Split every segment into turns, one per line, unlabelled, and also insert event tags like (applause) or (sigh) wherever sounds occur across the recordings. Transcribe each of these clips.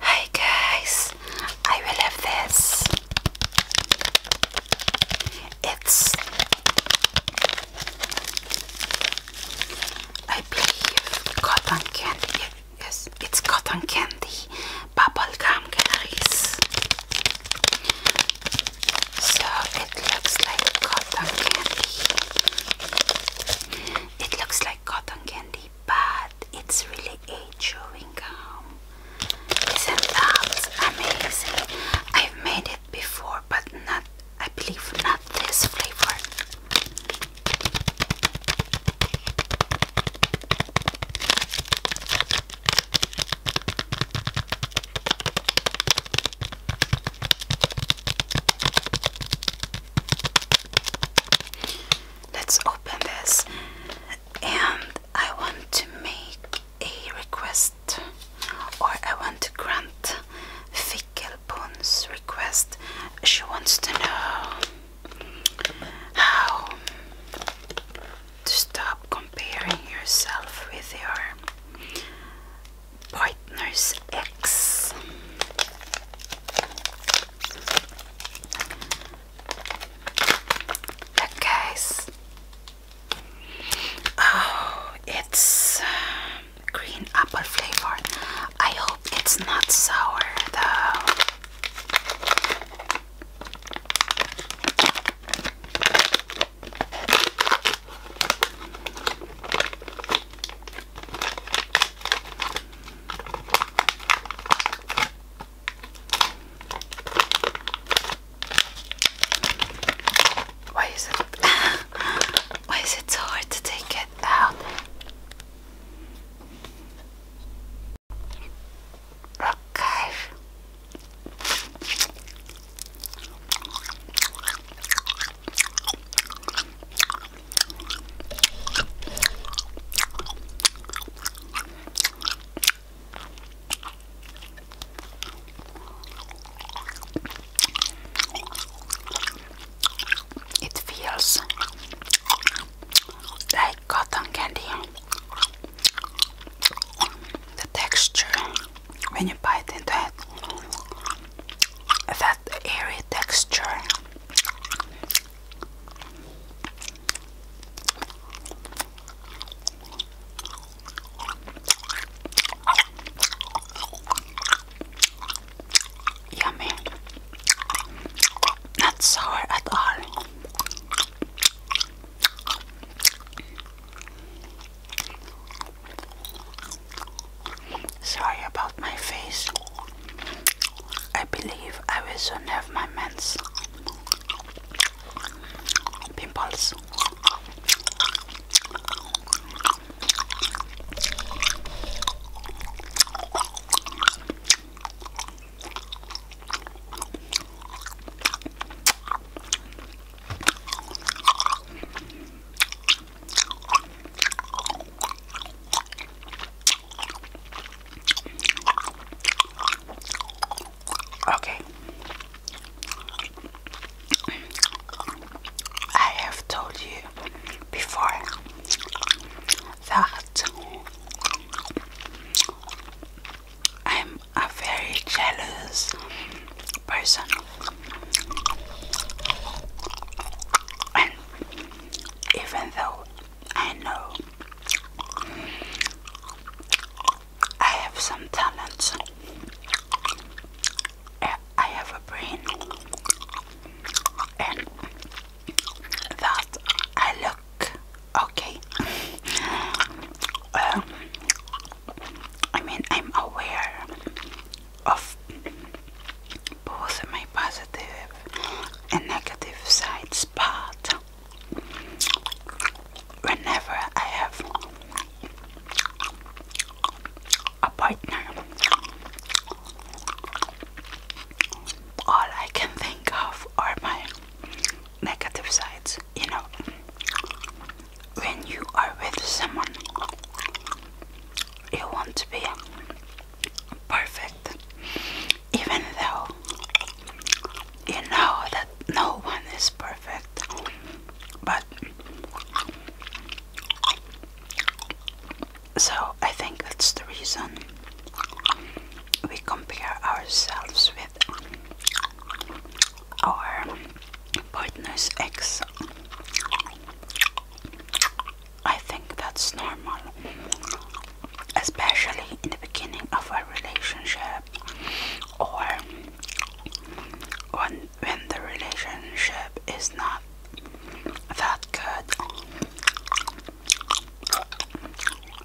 Hi guys, I will this. It's, I believe, cotton candy. Yes, it's cotton candy, bubble gum, guys. So it looks like cotton candy. It looks like cotton candy but it's really a chewing gum. Isn't that amazing? I've made it before, but not, I believe, not this flavor. Let's open this and I want to make a request or I want to grant Fickelpoon's request. She wants to know how to stop comparing yourself with your partner's ex. Look, Oh, it's uh, green apple flavor. I hope it's not sour though. Why is it (laughs) why is it so hard to take it out? Okay. It feels like cotton candy. The texture when you bite into it, the airy texture. Yummy. Not sour at all. Sorry about my face. I believe I will soon have my men's pimples. Okay. I have told you before that I'm a very jealous person, even though I know I have some talents, I have a brain, and that I look okay. I mean, I'm aware of both my positive and negative sides, but whenever I have a partner, all I can think of are my negative sides, you know. When you are with someone you want to be perfect, even though you know that no one is perfect, but so I think that's the reason we compare ourselves with our partner's ex I think that's normal, especially in the beginning of a relationship or when, when the relationship is not that good,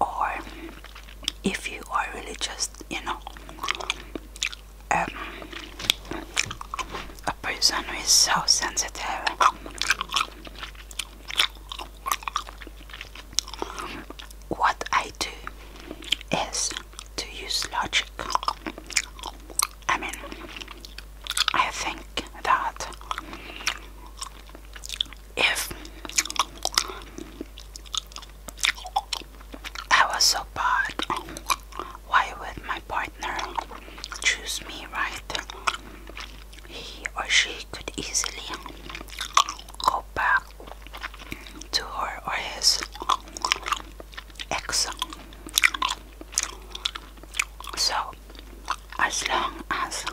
or if you are really just, you know, um, a person who is so sensitive. What I do is to use logic. I mean, I think that if I was so bad why would my partner choose me, right? He or she could easily go back to her or his ex. So, as long as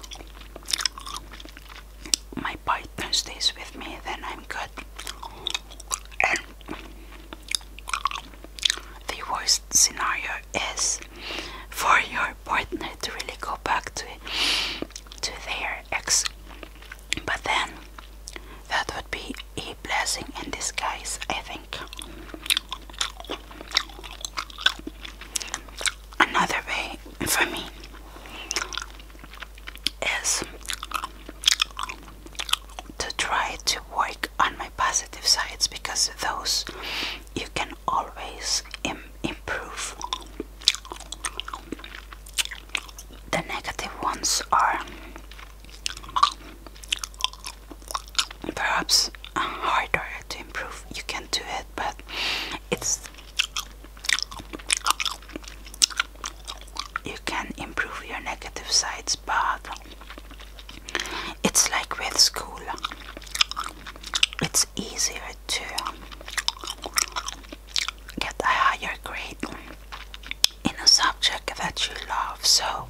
my partner stays with me, then I'm good. The worst scenario is for your partner to really go back to to their ex, but then that would be a blessing in disguise, I think. Another way for me is to try to work on my positive sides because those you can always improve. The negative ones are perhaps harder to improve. You can do it, but it's you can improve your negative sides, but it's like with school, it's easier to get a higher grade in a subject that you love, so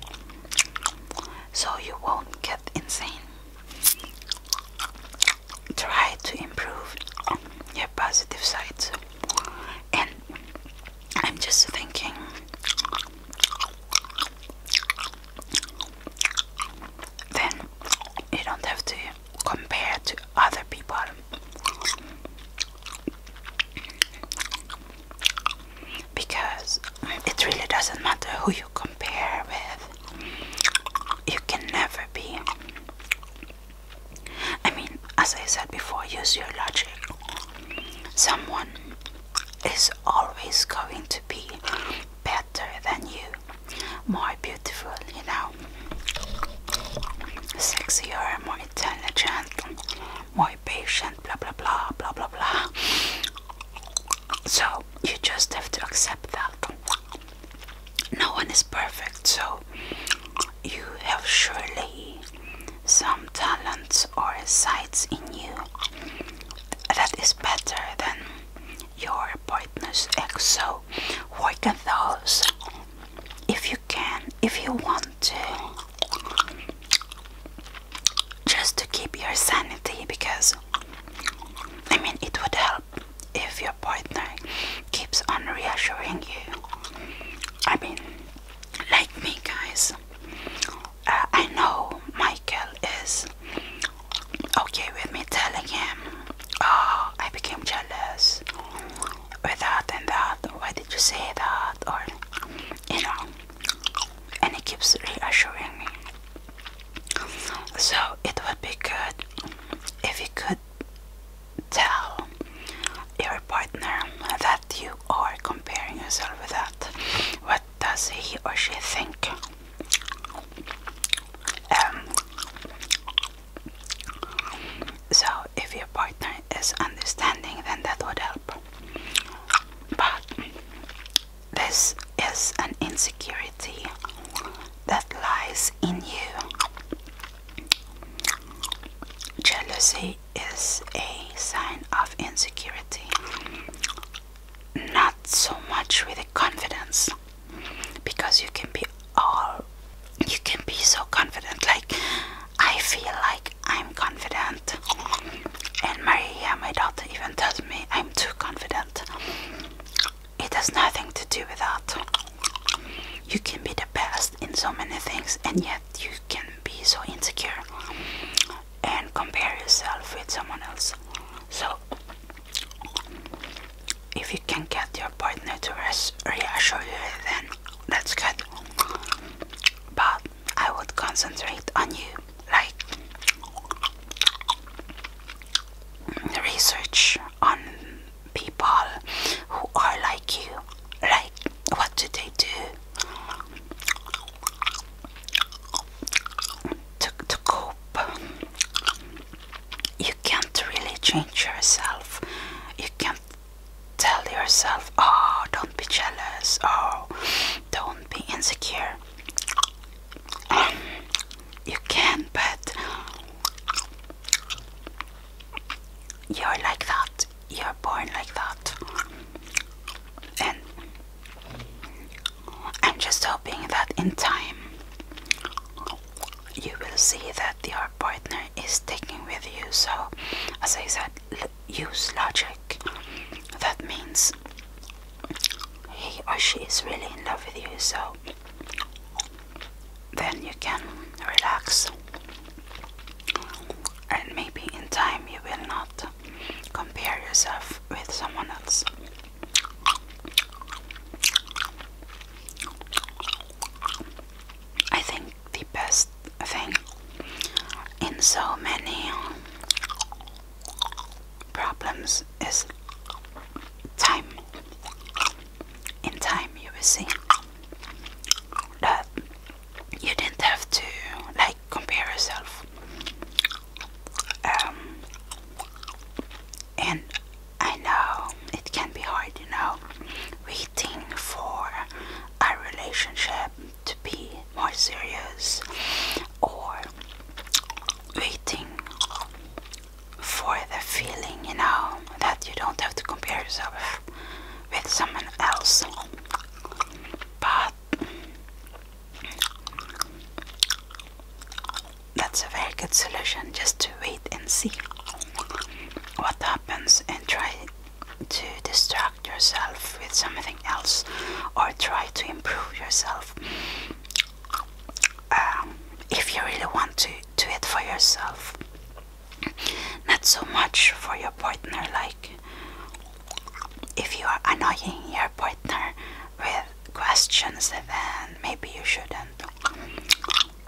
so you won't get insane. Try to improve your positive sides and I'm just thinking then you don't have to compare to other people. Because it really doesn't matter who you compare with, you can never be. I mean, as I said before, use your logic. Someone is always going to be better than you, more beautiful, you know, sexier, more intelligent, more patient, blah blah blah, blah blah blah. So you just have to accept that. No one is perfect, so you have surely some talents or sides in you that is better than your partner's ex. So work at those if you can, if you want to, just to keep your sanity because I mean it would help if your partner keeps on reassuring you. I mean, like me, guys, uh, I know Michael is okay with me telling him, Oh, I became jealous with that and that. Why did you say that? Or, you know, and he keeps reassuring me. So it would be good if you could tell your partner that you are comparing yourself with that. What does he or she think? Um, so, if your partner is understanding, then that would help. But this is an insecurity that lies in you. Jealousy is a sign of insecurity, not so much really confidence, because you can be all you can be so confident. Like, I feel like I'm confident, and Maria, my daughter, even tells me I'm too confident. It has nothing to do with that. You can be the best in so many things, and yet you can be so insecure and compare yourself with someone else. So, if you can get your partner to reassure you, then that's good. But I would concentrate on you, like research on people who are like you, like what do they do, to, to cope. You can't really change yourself. You can't tell yourself, oh, don't be jealous, oh, don't be insecure. you can, but you're like that you're born like that. And I'm just hoping that in time you will see that your partner is sticking with you. So, as I said, use logic. That means he or she is really in love with you. So, then you can relax and maybe in time you will not compare yourself with someone else. I think the best thing in so many problems is time. In time, you will see that you didn't have to like compare yourself. Um, and I know it can be hard, you know, waiting for a relationship to be more serious or waiting for the feeling, you know, that you don't have to compare yourself with someone else. But that's a very good solution just to wait and see what happens and try to distract yourself with something else or try to improve yourself. Um, if you really want to do it for yourself, not so much for your partner, like if you are annoying your partner with questions, then maybe you shouldn't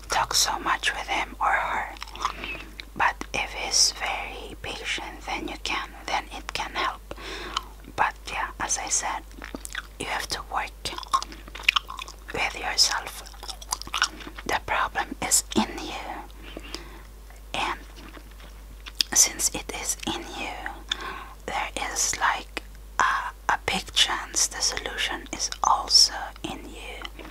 talk so much with him or her. But if he's very patient, then you can, then it can help. But yeah, as I said, you have to work with yourself. The problem is in you and since it is in you, there is like a, big chance the solution is also in you.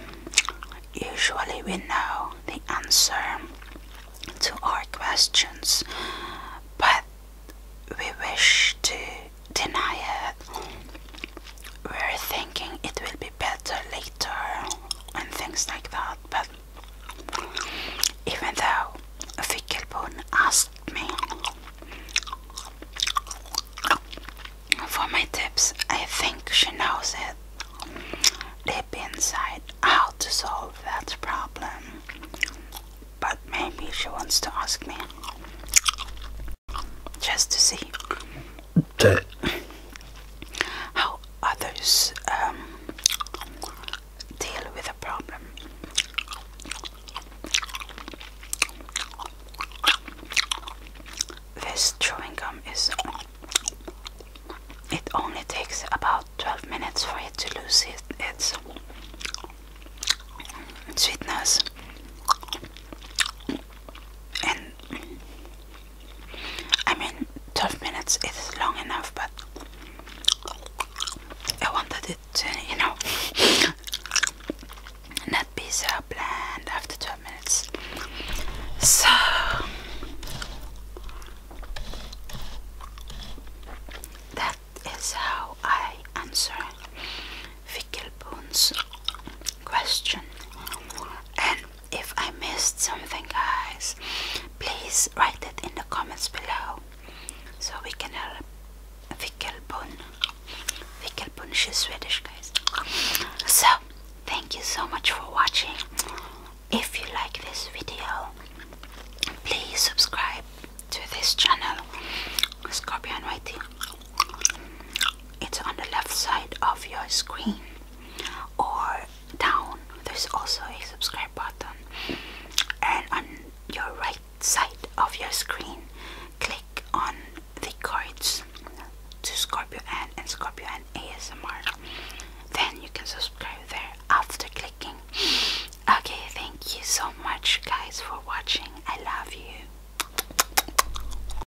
Usually, we know the answer to our questions, but we wish to deny it we're thinking it will be better later and things like that. But even though Fickelborn asked me for my tips, I think she knows it deep inside how to solve that problem. But maybe she wants to ask me just to see how others um, deal with a problem. This chewing gum is. It only takes about 12 minutes for it to lose its sweetness. I mean, 12 minutes is long enough, but I wanted it to, you know, not be so bland after 12 minutes. So, that is how I answer Vickelboon's question if I missed something, guys, please write it in the comments below so we can help uh, Vickelbun. Vickelbun, she's Swedish, guys. So, thank you so much for watching. If you like this video, please subscribe to this channel, Scorpion YT it's on the left side of your screen or down there's also a subscribe button and on your right side of your screen click on the cards to Scorpio N and Scorpio N ASMR then you can subscribe there after clicking okay thank you so much guys for watching I love you